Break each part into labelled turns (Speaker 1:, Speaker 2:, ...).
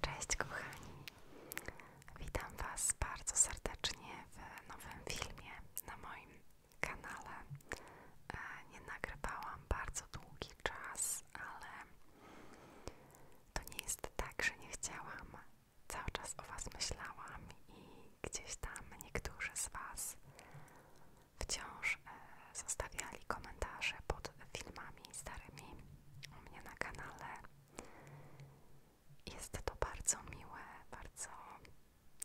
Speaker 1: Cześć kochani, witam Was bardzo serdecznie w nowym filmie na moim kanale. E, nie nagrywałam bardzo długi czas, ale to nie jest tak, że nie chciałam. Cały czas o Was myślałam i gdzieś tam niektórzy z Was wciąż e, zostawiali komentarze pod filmami starymi u mnie na kanale. Jest to bardzo miłe, bardzo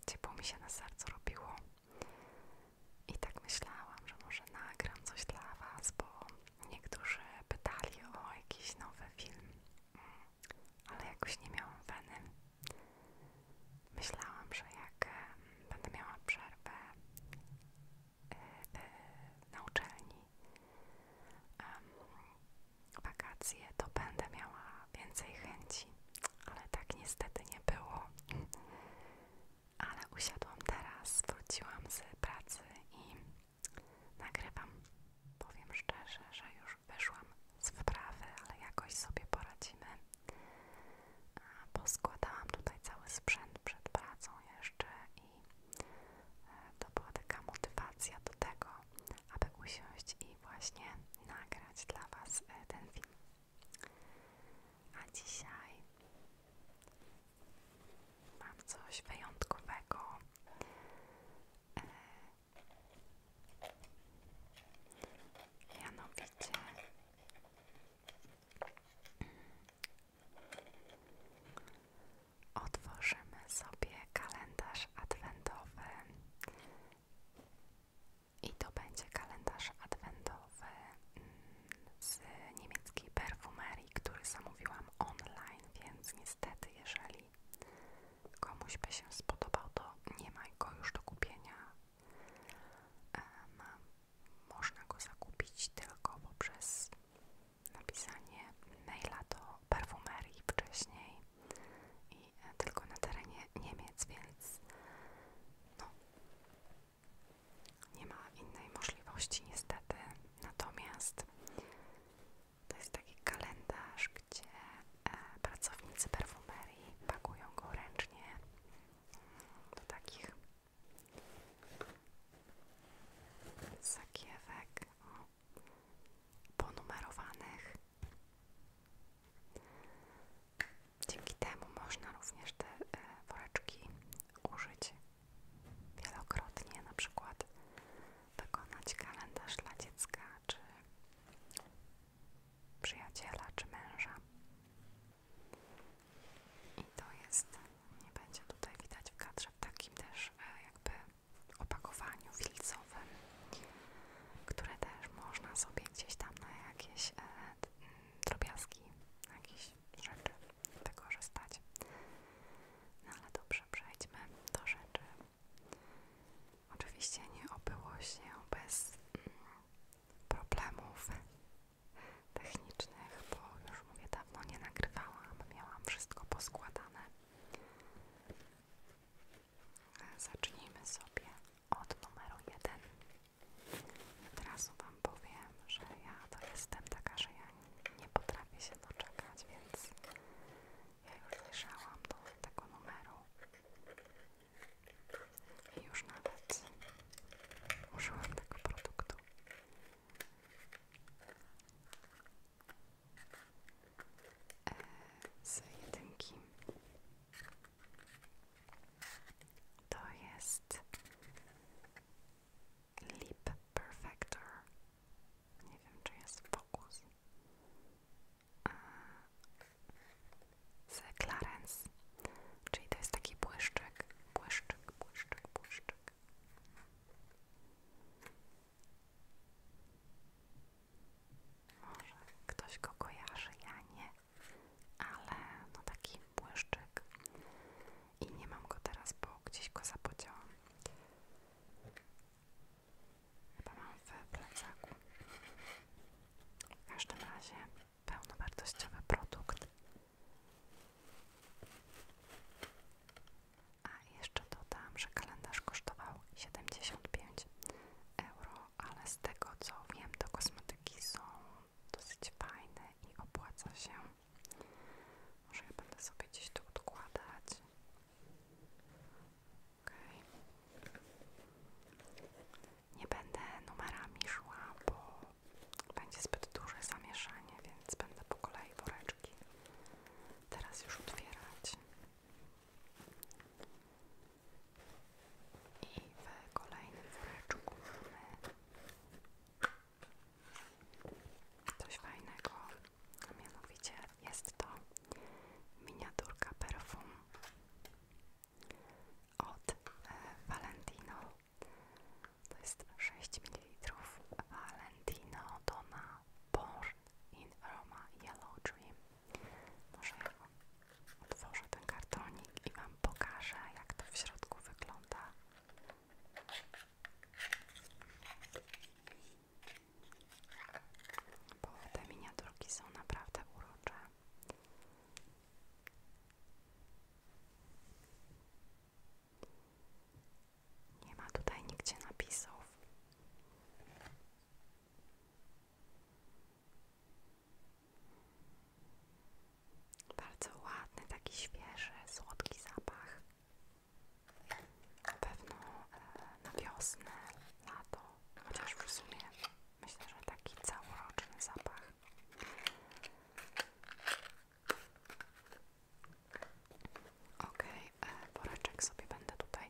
Speaker 1: ciepło mi się na sercu robiło. I tak myślałam, że może nagram coś dla Was, bo niektórzy pytali o jakiś nowy film, mm, ale jakoś nie miałam weny. Myślałam, że jak będę miała przerwę y, y, na uczelni, wakacje, to będę miała więcej chęci, ale tak niestety nie było. Ale usiadłam teraz, wróciłam z pracy i nagrywam. Powiem szczerze, że już wyszłam z wprawy, ale jakoś sobie poradzimy. składałam tutaj cały sprzęt przed pracą jeszcze E, to była taka motywacja do tego, aby usiąść i właśnie nagrać dla Was e, ten film. A dzisiaj mam coś wyjątkowego. E, mianowicie otworzymy sobie kalendarz adwentowy i to będzie kalendarz adwentowy mm, z niemieckiej perfumerii, który zamówiłam online, więc niestety jeżeli komuś by się spodobał, to nie ma go już do kupienia. można go zakupić tylko poprzez napisanie maila do parfumerii wcześniej i e, tylko na terenie Niemiec, więc no, nie ma innej możliwości niestety. Natomiast to jest taki kalendarz, gdzie e, pracownicy perfumerii pakują go ręcznie do takich sakiewek o, ponumerowanych. Dzięki temu można również te e, woreczki użyć wielokrotnie, na przykład wykonać kalendarz dla dziecka, czy przyjaciela, czy męża. I to jest, nie będzie tutaj widać w kadrze, w takim też e, jakby opakowaniu wilcowym, które też można sobie gdzieś tam na jakieś e, drobiazgi, na jakieś rzeczy wykorzystać. No ale dobrze, przejdźmy do rzeczy. Oczywiście nie obyło się bez mm, problemów technicznych, bo już mówię, dawno nie nagrywałam, miałam wszystko poskładane. Zacznijmy sobie od numeru 1. Od razu Wam powiem, że ja to jestem taka, że ja nie potrafię się doczekać, więc ja już zajrzałam do tego numeru i już nawet użyłam tego produktu. E, z jedynki. To jest Lip Perfector. Nie wiem, czy jest fokus. E, z Clarence. Czyli to jest taki błyszczek błyszczek błyszczek błyszczek tak. Może ktoś go kojarzy, ja nie, ale no taki błyszczek i nie mam go teraz, bo gdzieś go zapodziałam. Chyba mam w plecaku. W każdym razie pełnowartościowy produkt a jeszcze dodam, że kalendarz kosztował 75 euro, ale z tego co wiem, to kosmetyki są dosyć fajne i opłaca się. Może ja będę sobie gdzieś to odkładać. Okay. Nie będę numerami szła, bo będzie zbyt duże zamieszanie, więc będę po kolei woreczki teraz już otwierać. I w kolejnym woreczku mamy coś fajnego, a mianowicie jest to miniaturka perfum od e, Valentino to jest 6 ml Valentino Donna Born in Roma Yellow Dream. Może ja wam otworzę ten kartonik i Wam pokażę, jak to w środku wygląda. Bo te miniaturki są naprawdę urocze. Nie ma tutaj nigdzie napisów. Bardzo ładny, taki świeży, słodki zapach. Na pewno e, na wiosnę, na to, chociaż w sumie myślę, że taki całoroczny zapach. OK, e, woreczek sobie będę tutaj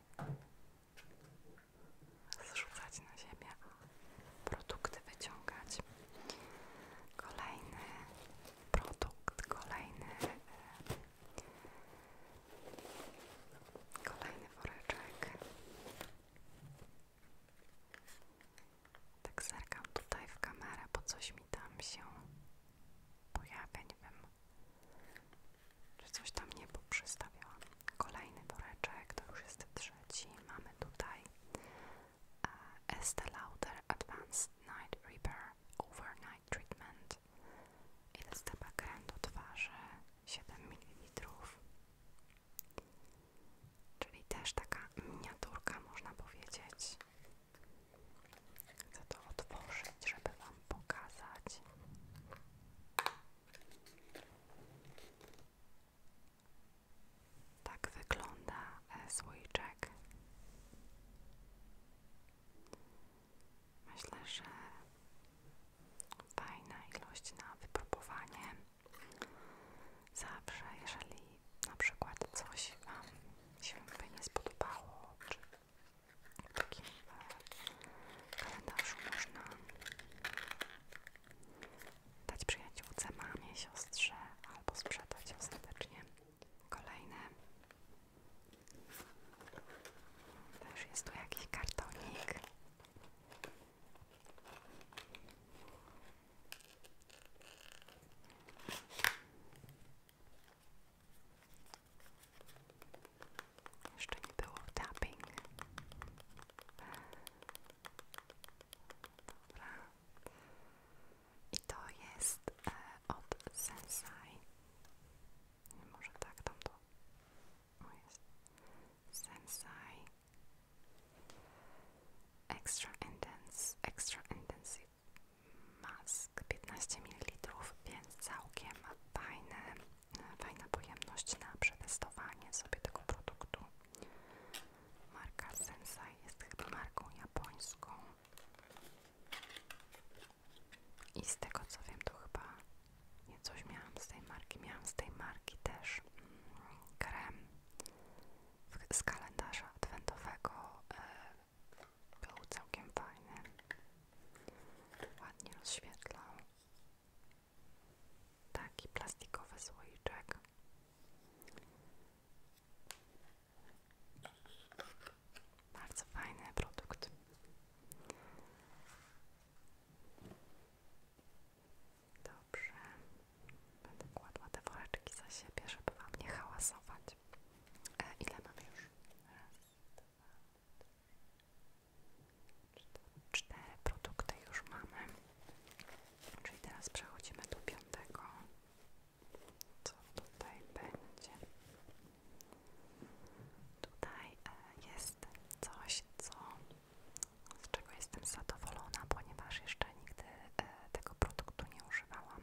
Speaker 1: zrzucać na ziemię, produkty wyciągać. Kolejny produkt, kolejny, e, kolejny woreczek. Tak zerkam tutaj w kamerę, bo coś mi tam się pojawia, nie wiem, czy coś tam nie przystawiałam. Kolejny woreczek, to już jest trzeci. Mamy tutaj uh, Lauder Advanced Night Repair Overnight Treatment. I to jest chyba krem do 7 ml. Czyli też taka miniaturka, można powiedzieć. Chcę to otworzyć, żeby Wam pokazać. Tak wygląda e, słoiczek. Myślę, że fajna ilość na wypróbowanie. Zawsze, jeżeli na przykład coś Wam się by nie spodobało, czy w takim e, kalendarzu można dać przyjaciółce, mamie, siostrze albo sprzedać ostatecznie. Kolejne. Też jest tu jakiś kartonik. Jeszcze nie było tapping. I to jest e, od Sensai. może tak tamto. jest. Sensai. Extra Intense, Extra Intensive Mask 15 ml, więc całkiem fajna pojemność na przetestowanie sobie tego produktu. Marka Sensai jest chyba marką japońską. I z tego co wiem, to chyba nie coś miałam z tej marki. Miałam z tej marki też mm, krem z kalendarza adwentowego e, był całkiem fajny. Ładnie rozświetlał. Taki plastikowy słoiczek. Bardzo fajny produkt. Dobrze. Będę kładła te woreczki za siebie, żeby wam nie hałasować. E, ile mamy już? Raz, dwa, trzy, cztery. produkty już mamy. Czyli teraz przechodzimy do piątego. Co tutaj będzie? Tutaj e, jest coś, co, z czego jestem zadowolona, ponieważ jeszcze nigdy e, tego produktu nie używałam,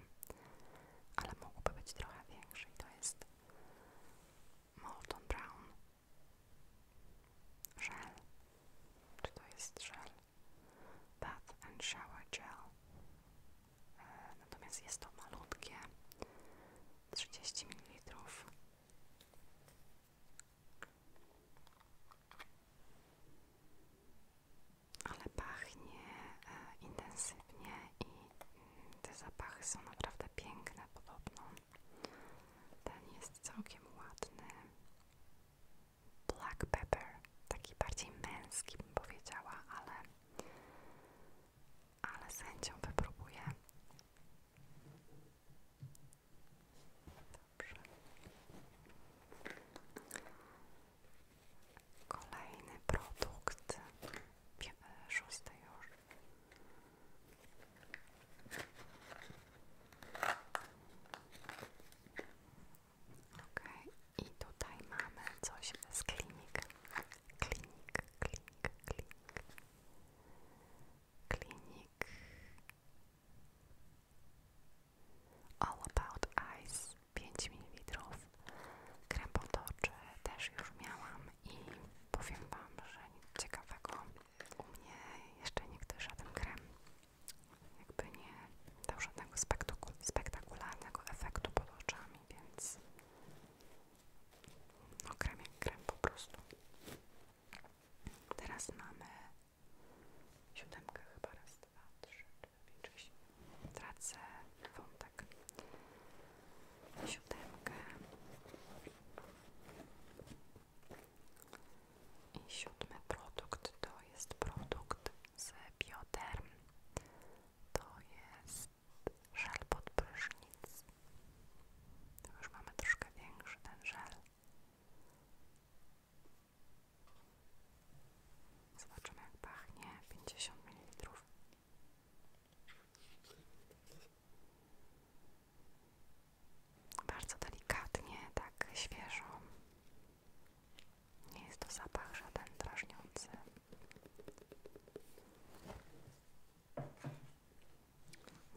Speaker 1: ale mógłby być trochę większy i to jest Molton Brown Gel. czy to jest Gel Bath and Shower Gel, e, natomiast jest to malutkie 30 ml ale pachnie e, intensywnie i mm, te zapachy są naprawdę piękne podobno. Ten jest całkiem ładny. Black pepper, taki bardziej męski bym powiedziała, ale, ale z chęcią wypróbuję. Dobrze. Kolejny produkt, szósty już. Ok, i tutaj mamy coś z klinik. Klinik All About Ice 5 ml. Krem potoczy też już miałam i powiem Wam, że nic ciekawego u mnie jeszcze nigdy żaden krem jakby nie dał żadnego spektakularnego efektu pod oczami, więc no krem jak krem po prostu. Teraz mamy Siódemka chyba, raz, dwa, trzy, cztery, pięć, Tracę wątek. Siódemkę. I siódmy produkt to jest produkt z Bioderm. To jest żel pod prysznic. Już mamy troszkę większy ten żel. Zobaczymy jak pachnie 50 ml. Bardzo delikatnie, tak świeżo. Nie jest to zapach żaden drażniący.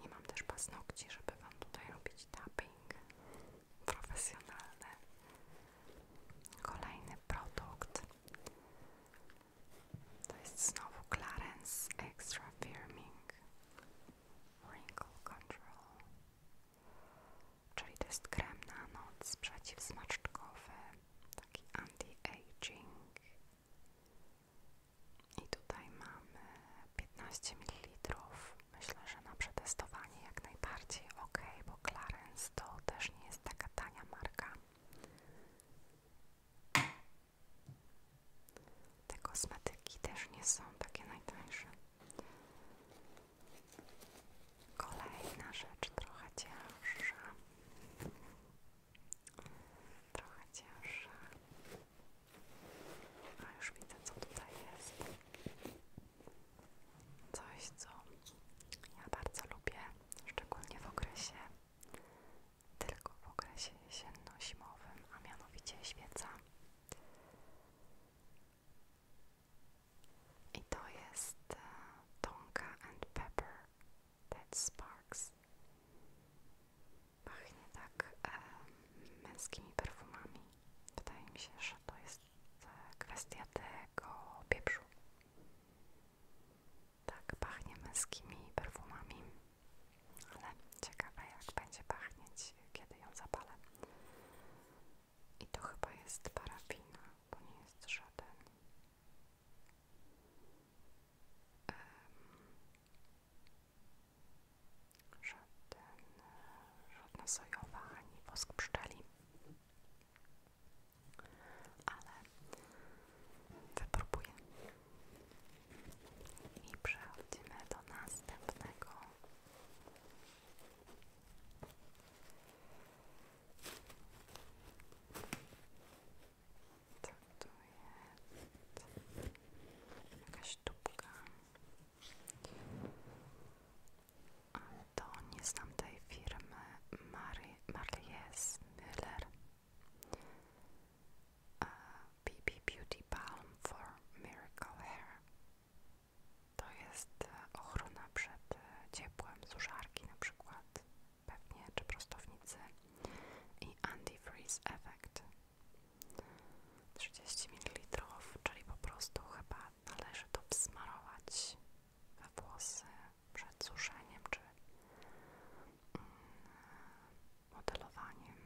Speaker 1: Nie mam też paznokci, żeby Wam tutaj robić tapy packaging profesjonalny. Kolejny produkt to jest znowu Clarence Extra Firming Wrinkle Control, czyli to jest krem na noc przeciwzmaczkowy, taki anti-aging. I tutaj mamy 15 ml Myślę, że na przetestowanie jak najbardziej ok, bo Clarence to też nie jest taka tania marka. Te kosmetyki też nie są takie najtańsze. Kolejna rzecz, trochę cięższa. Trochę cięższa. A już widzę, co tutaj jest coś, co ja bardzo lubię, szczególnie w okresie, tylko w okresie jesienno-zimowym, a mianowicie świeca. I to jest e, Tonka and Pepper that Sparks. Pachnie tak e, męskimi perfumami. Wydaje mi się, że to jest kwestia tego pieprzu. Tak, pachnie męskimi perfumami, ale ciekawe jak będzie pachnieć, kiedy ją zapalę. I to chyba jest parafina, to nie jest żaden um, żaden, żadna sojowa ani wosk pszczeli. Ale wypróbuję. I przechodzimy do następnego. Co tu jest? Jakaś tubka. To nie z tamtej firmy Mary, Marlies Müller BB Beauty Balm for Miracle Hair to jest e, ochrona przed e, ciepłem suszarki na przykład pewnie, czy prostownicy i Anti Freeze effect 30 ml, czyli po prostu chyba należy to wsmarować we włosy przed suszeniem czy mm, modelowaniem.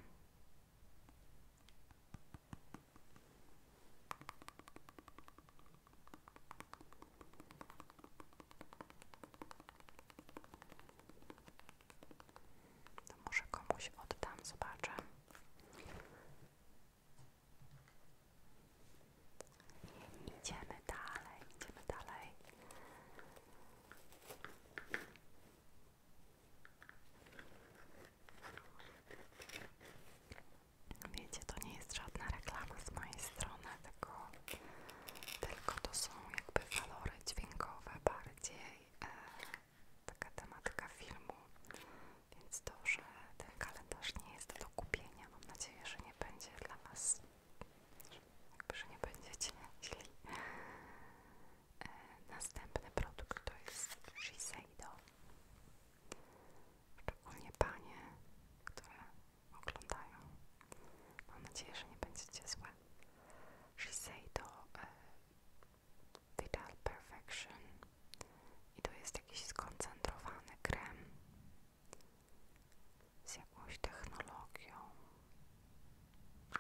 Speaker 1: To może komuś oddam, zobaczę. Idziemy dalej, idziemy dalej. Wiecie, to nie jest żadna reklama z mojej strony, tylko, tylko to są jakby walory dźwiękowe bardziej. E, taka tematyka filmu, więc to, że ten kalendarz nie jest do kupienia, mam nadzieję, że nie będzie dla Was, że nie będziecie źli. E, następny produkt to jest Shiseido. Szczególnie panie, które oglądają. Mam nadzieję, że nie będziecie złe. Shiseido e, Vital Perfection i to jest jakiś skoncentrowany krem z jakąś technologią. W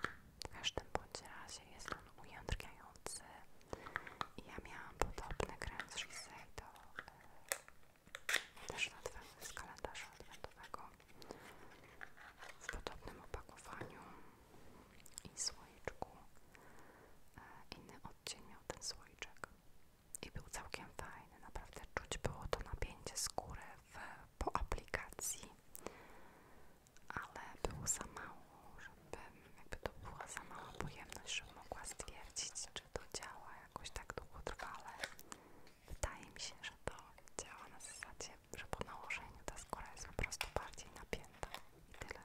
Speaker 1: każdym bądź razie jest on ujędrniający i ja miałam podobny krem z Shisei do e, też z kalendarza adwentowego w podobnym opakowaniu i słoiczku. E, inny odcień miał ten słoiczek. I był całkiem fajny, naprawdę czuć było to napięcie skóry po aplikacji, ale było za mało, żebym, jakby to była za mała pojemność, żebym mogła stwierdzić, czy to działa jakoś tak długotrwale. Wydaje mi się, że to działa na zasadzie, że po nałożeniu ta skóra jest po prostu bardziej napięta i tyle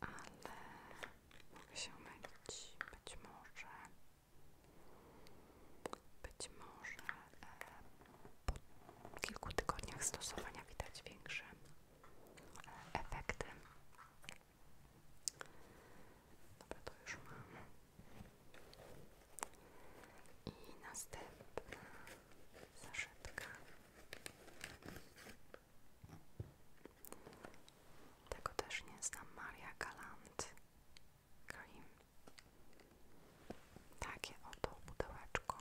Speaker 1: ale mogę się mylić, być może być może e, po kilku tygodniach stosowania widać większe e, efekty dobra to już mam i następna zaszytka tego też nie znam. Maria Galant Cream. Takie oto pudełeczko.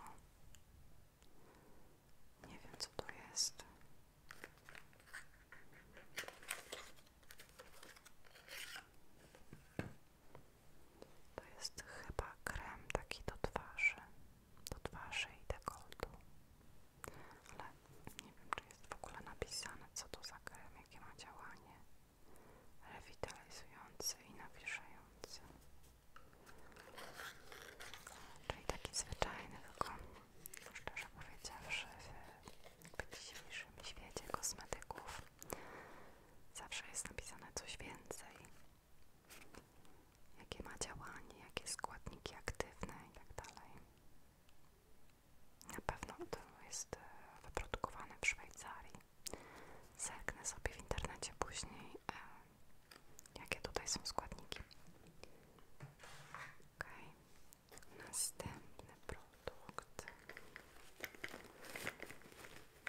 Speaker 1: Nie wiem co to jest. To jest chyba krem taki do twarzy do twarzy i dekoltu. Ale nie wiem, czy jest w ogóle napisane, co to za krem, jakie ma działanie rewitalizujący i nawilżający. Czyli taki zwyczajny, tylko szczerze powiedziawszy, w dzisiejszym świecie kosmetyków zawsze jest napisane coś więcej jakie ma działanie, jakie składniki aktywne itd. Tak Na pewno to jest e, wyprodukowane w Szwajcarii. Zerknę sobie w internecie później, e, jakie tutaj są składniki. Ok, następny produkt.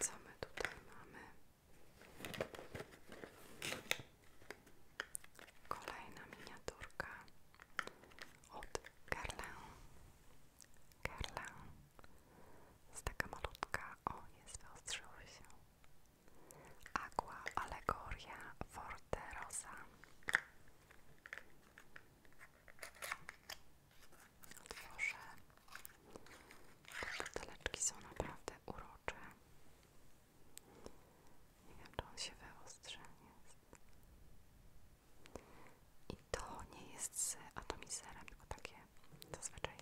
Speaker 1: Co my tutaj mamy? Kolejna miniaturka od Carlin. Carlin. Jest taka malutka. O, jest wyostrzyło się. Aqua Allegoria Forte Rosa. Otworzę. Te buteleczki są naprawdę urocze. Nie wiem, czy on się wyostrzy. Jest. I to nie jest z atomizerem, tylko takie zazwyczaj.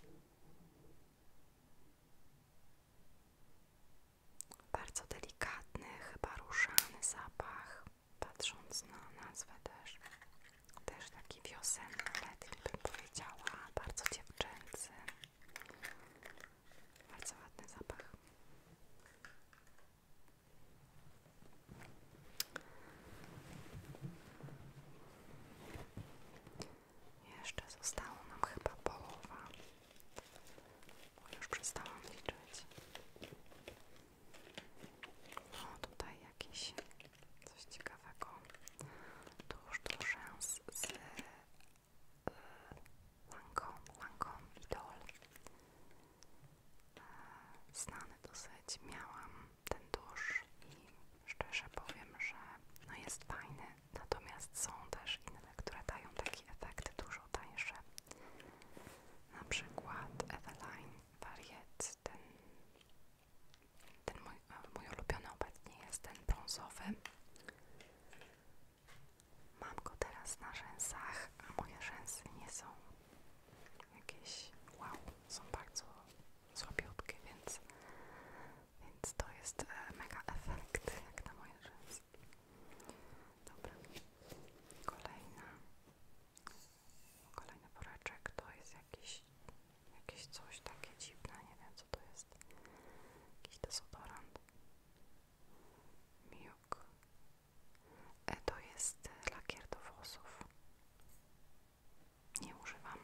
Speaker 1: Bardzo delikatny, chyba różany zapach. Patrząc na nazwę też, też taki wiosenny, letni bym powiedziała, bardzo ciepły kurczęcy. Bardzo ładny zapach. Jeszcze zostało nam chyba połowa, już przestałam liczyć. No tutaj jakiś coś ciekawego tuż do rzęs z Lancome, Lancome Idol znany dosyć, miałam ten tusz i szczerze powiem, że no jest fajny, natomiast są też inne, które dają taki efekt dużo tańsze na przykład Eveline Variet, ten ten mój, e, mój ulubiony obecnie jest ten brązowy. Mam go teraz na rzęsach, a moje rzęsy nie są jakieś wow, są bardzo słabiutkie, więc, więc to jest e, mega efekt jak na moje rzęsy. Dobra, kolejna, kolejny woreczek to jest jakiś, jakieś coś takie dziwne, nie wiem co to jest, jakiś desodorant, miuk, e, to jest lakier do włosów, nie używam,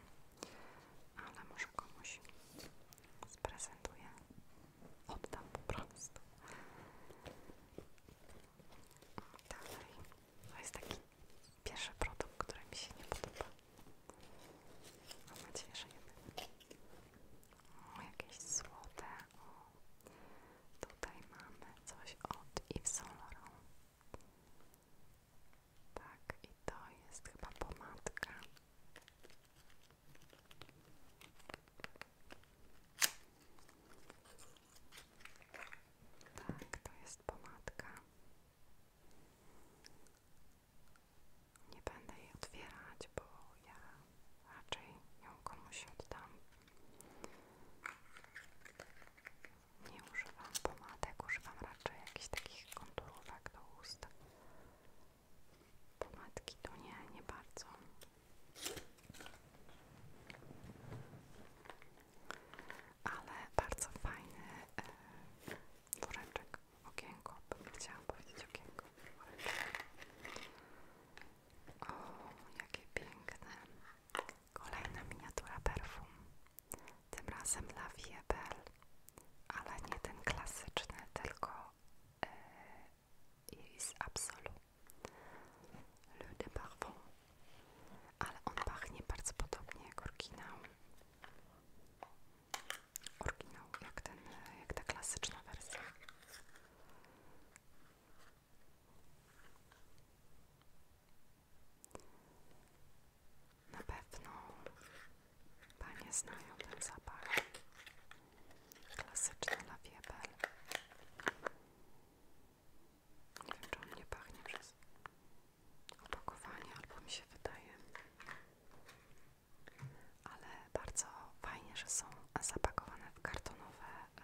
Speaker 1: ale może komuś sprezentuję, oddam po prostu. Dalej, to jest taki pierwszy produkt, który mi się nie podoba. Mam nadzieję, że jeden. O, jakieś złote. Tutaj mamy coś od Yves Saint Laurent. Tak, i to jest chyba pomadka. Tak, to jest pomadka. Nie będę jej otwierać, bo ja raczej ją komuś oddam. Nie używam pomadek, używam raczej jakichś takich konturówek do ust. Pomadki to nie, nie bardzo. Ale bardzo fajny e, woreczek, okienko, chciałam powiedzieć okienko, woreczek. O, jakie piękne. Kolejna miniatura perfum. Tym razem dla Wiebel, ale nie ten klasyczny, tylko e, Iris Absolu. Le de Parfum. Ale on pachnie bardzo podobnie jak oryginał oryginał, jak, ten, jak ta klasyczna wersja. Na pewno panie znają ten zapach. Klasyczny lawiebel. Nie wiem, czy on nie pachnie przez opakowanie, albo mi się wydaje. Ale bardzo fajnie, że są zapakowane w kartonowe e,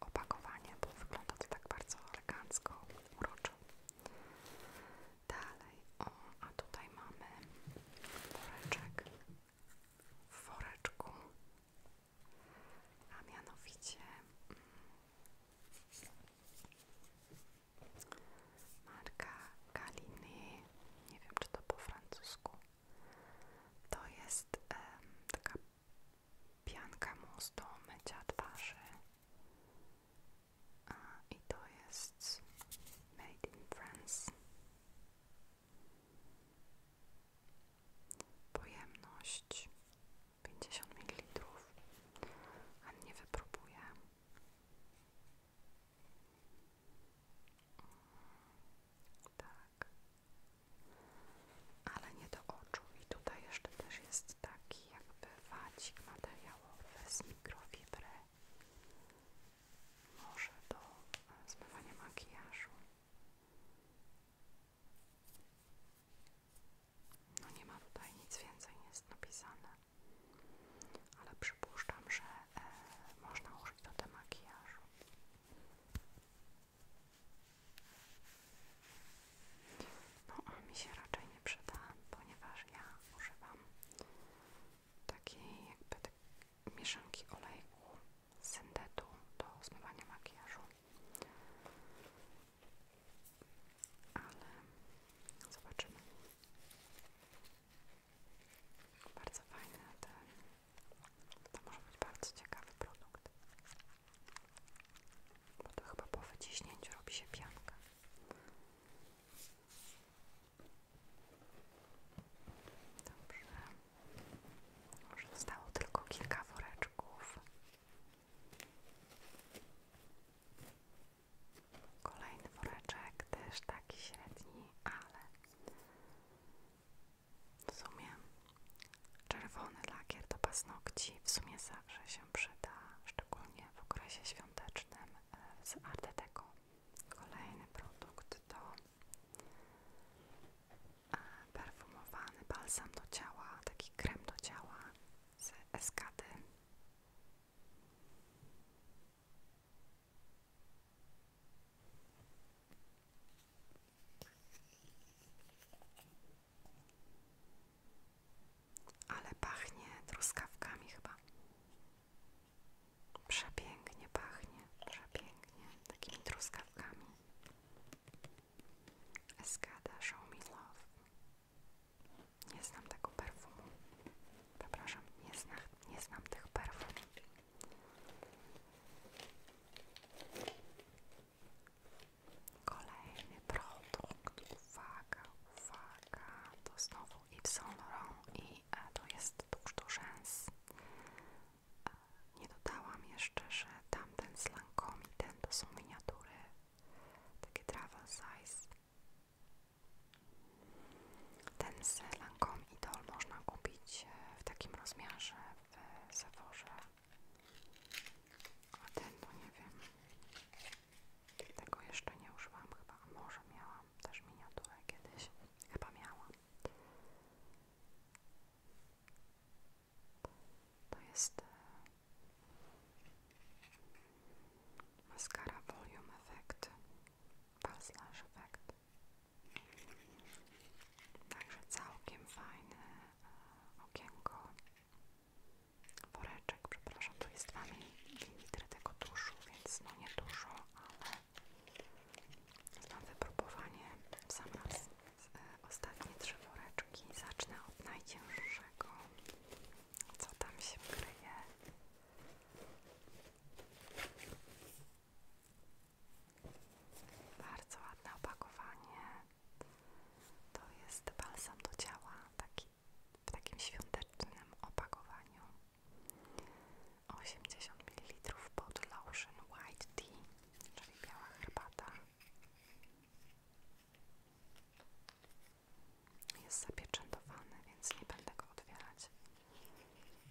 Speaker 1: opakowanie, bo wygląda to tak bardzo elegancko, uroczo. Dalej, o, a tutaj mamy woreczek w woreczku, a mianowicie mm, Marka Kaliny, nie wiem czy to po francusku. To jest taka pianka mus do mycia I to jest Made in France. Pojemność 50 ml. A nie wypróbuję. Tak. Ale nie do oczu. I tutaj jeszcze też jest taki jakby wacik materiałowy z mikrofibry. Może do e, zmywania makijażu. No nie ma tutaj nic więcej, nie jest napisane, ale przypuszczam, że e, można użyć do tego makijażu. No mi się raczej nie przyda, ponieważ ja używam takiej jakby tak mieszanki oleju syndetu do zmywania makijażu ale zobaczymy. Bardzo fajny ten, to może być bardzo ciekawy produkt, bo to chyba po wyciśnięciu robi się pianka. Dobrze. Może zostało tylko kilka woreczków. Kolejny woreczek, też taki średni, ale w sumie czerwony lakier do paznokci w sumie zawsze się przyda, szczególnie w okresie świątecznym e, z Art Deco. Kolejny produkt to e, perfumowany balsam do ciała, taki krem do ciała z eskady ale pachnie truskawkami chyba. Przepięknie pachnie, przepięknie takimi truskawkami. Eskada, show me nie znam tego perfumu. Przepraszam, nie, zna, nie znam tych perfum. Kolejny produkt. Uwaga, uwaga. To znowu Yves Saint i e, to jest tuż do rzęs. E, nie dodałam jeszcze, że tamten z Lancome i ten to są miniatury. Takie travel size. Ten z Lancome Idol można kupić e, w takim rozmiarze w e, Sephorze. A ten to no nie wiem. Tego jeszcze nie użyłam chyba. Może miałam też miniaturę kiedyś. Chyba miałam. To jest e, Mascara Volume Effect, Balslash Effect. Także całkiem fajne e, okienko, woreczek, przepraszam, tu jest 2 ml tego tuszu, więc no nie dużo, ale na wypróbowanie w sam raz. E, ostatnie trzy woreczki. Zacznę od najcięższego co tam się kryje. Bardzo ładne opakowanie. To jest balsam do ciała, w takim świątecznym opakowaniu. 80 ml pod lotion white tea, czyli biała herbata. Jest zapieczętowany, więc nie będę go odwierać,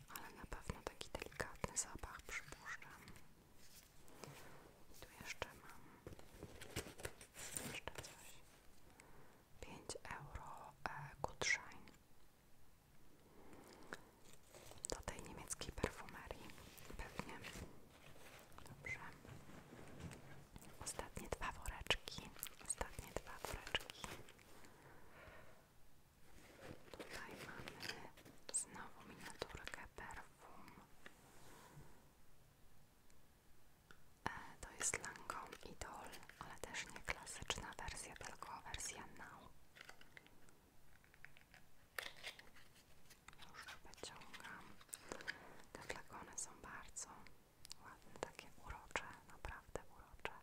Speaker 1: Ale na pewno taki delikatny zapach przypuszczam. Tu jeszcze mam jeszcze coś. 5 euro e, Gutschein. Do tej niemieckiej perfumerii pewnie Ostatnie dwa woreczki. Ostatnie dwa woreczki. Tutaj mamy znowu miniaturkę perfum. E, to jest Lancome Idol, ale też nie klasyczna wersja, tylko wersja now. Już wyciągam. Te flakony są bardzo ładne, takie urocze, naprawdę urocze.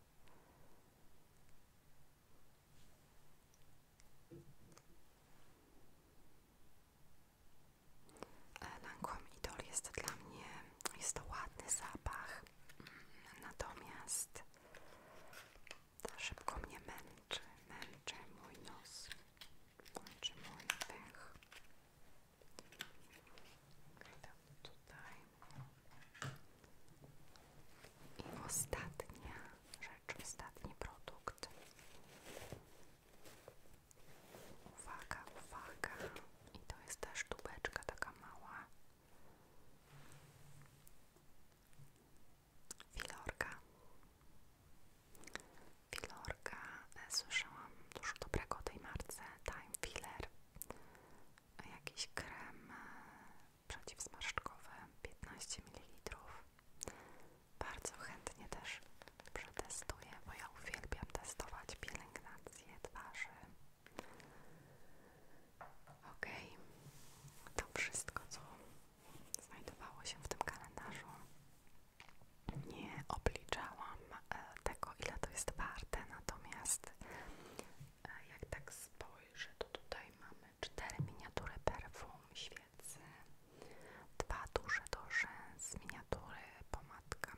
Speaker 1: E, Lancome Idol jest dla mnie, jest to ładny zapach, mm, natomiast szybko mnie męczy, męczy mój nos, męczy mój pęch. I ostatnia rzecz, ostatni produkt. Uwaga, uwaga. I to jest też tubeczka taka mała. Filorka. Filorka, e, słyszałam dużo dobrego o tej marce, Time Filler, jakiś krem e, przeciwzmarszczkowy 15 ml. Bardzo chętnie też przetestuję, bo ja uwielbiam testować pielęgnację twarzy. Ok, to wszystko, co znajdowało się w tym kalendarzu nie obliczałam e, tego, ile to jest warte, natomiast e, jak tak spojrzę, to tutaj mamy cztery miniatury perfum, świecy, dwa duże do rzęs, miniatury, pomadka,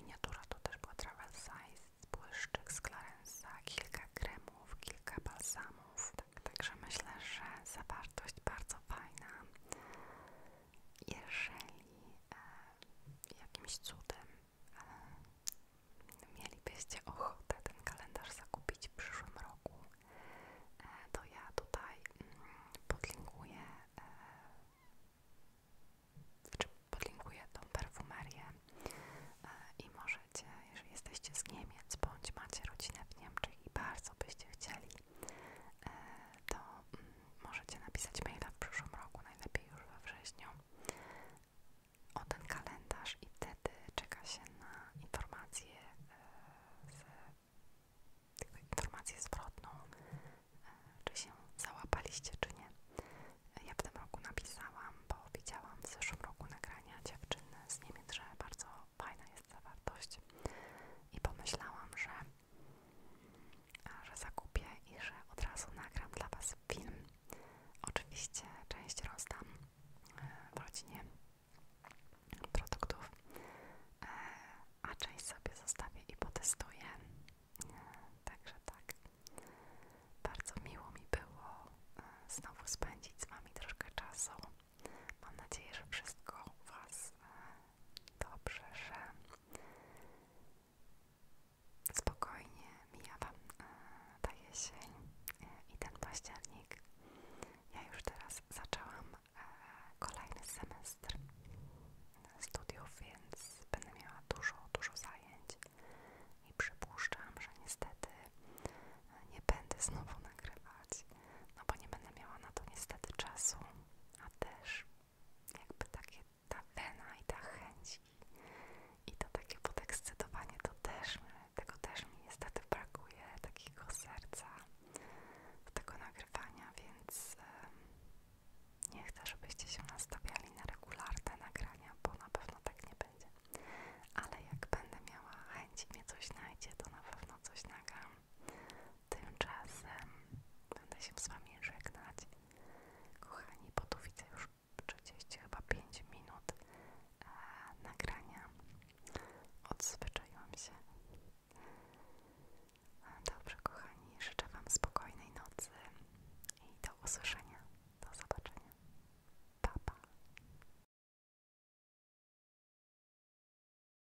Speaker 1: miniatura to też była travel size, błyszczyk z Clarensa, kilka kremów, kilka balsamów. Tak, także myślę, że zawartość bardzo fajna jeżeli jakimś cudem mielibyście ochotę ten kalendarz zakupić w przyszłym roku, to ja tutaj mm, podlinkuję e, podlinkuję tą perfumerię e, i możecie, jeżeli jesteście z Niemiec bądź macie rodzinę w Niemczech i bardzo byście chcieli E, to mm, możecie napisać maila w przyszłym roku, najlepiej już we wrześniu, o ten kalendarz i wtedy czeka się na informację e, z informację zwrotną, e, czy się załapaliście, czy nie. Ja w tym roku napisałam, bo widziałam w zeszłym roku nagrania dziewczyny z Niemiec, że bardzo fajna jest zawartość i pomyślałam, że że zakupię i że od razu nagram dla Was film. Oczywiście część rozdam e, w rodzinie produktów, e, a część sobie zostawię i potestuję. E, także tak. Bardzo miło mi było znowu spędzić z Wami troszkę czasu. Mam nadzieję, że wszystko u Was dobrze, że spokojnie mija Wam e, ta jesień e, i ten październik. Ja już teraz zaczęłam e, kolejny semestr studiów, więc będę miała dużo, dużo zajęć i przypuszczam, że niestety nie będę znowu nagrywać no bo nie będę miała na to niestety czasu, a też jakby takie ta wena i ta chęć i to takie podekscytowanie, to też tego też mi niestety brakuje, takiego serca do tego nagrywania, więc um, nie chcę, żebyście się nastawiali na regularne nagrania, bo na pewno tak nie będzie. Ale jak będę miała chęć i mnie coś znajdzie, to na pewno coś nagram. Tymczasem będę się z Wami żegnać. Kochani, bo tu widzę już 30 chyba 5 minut e, nagrania. Odzwyczaiłam się. E, dobrze, kochani, życzę Wam spokojnej nocy i do usłyszenia. Do zobaczenia. Pa, pa.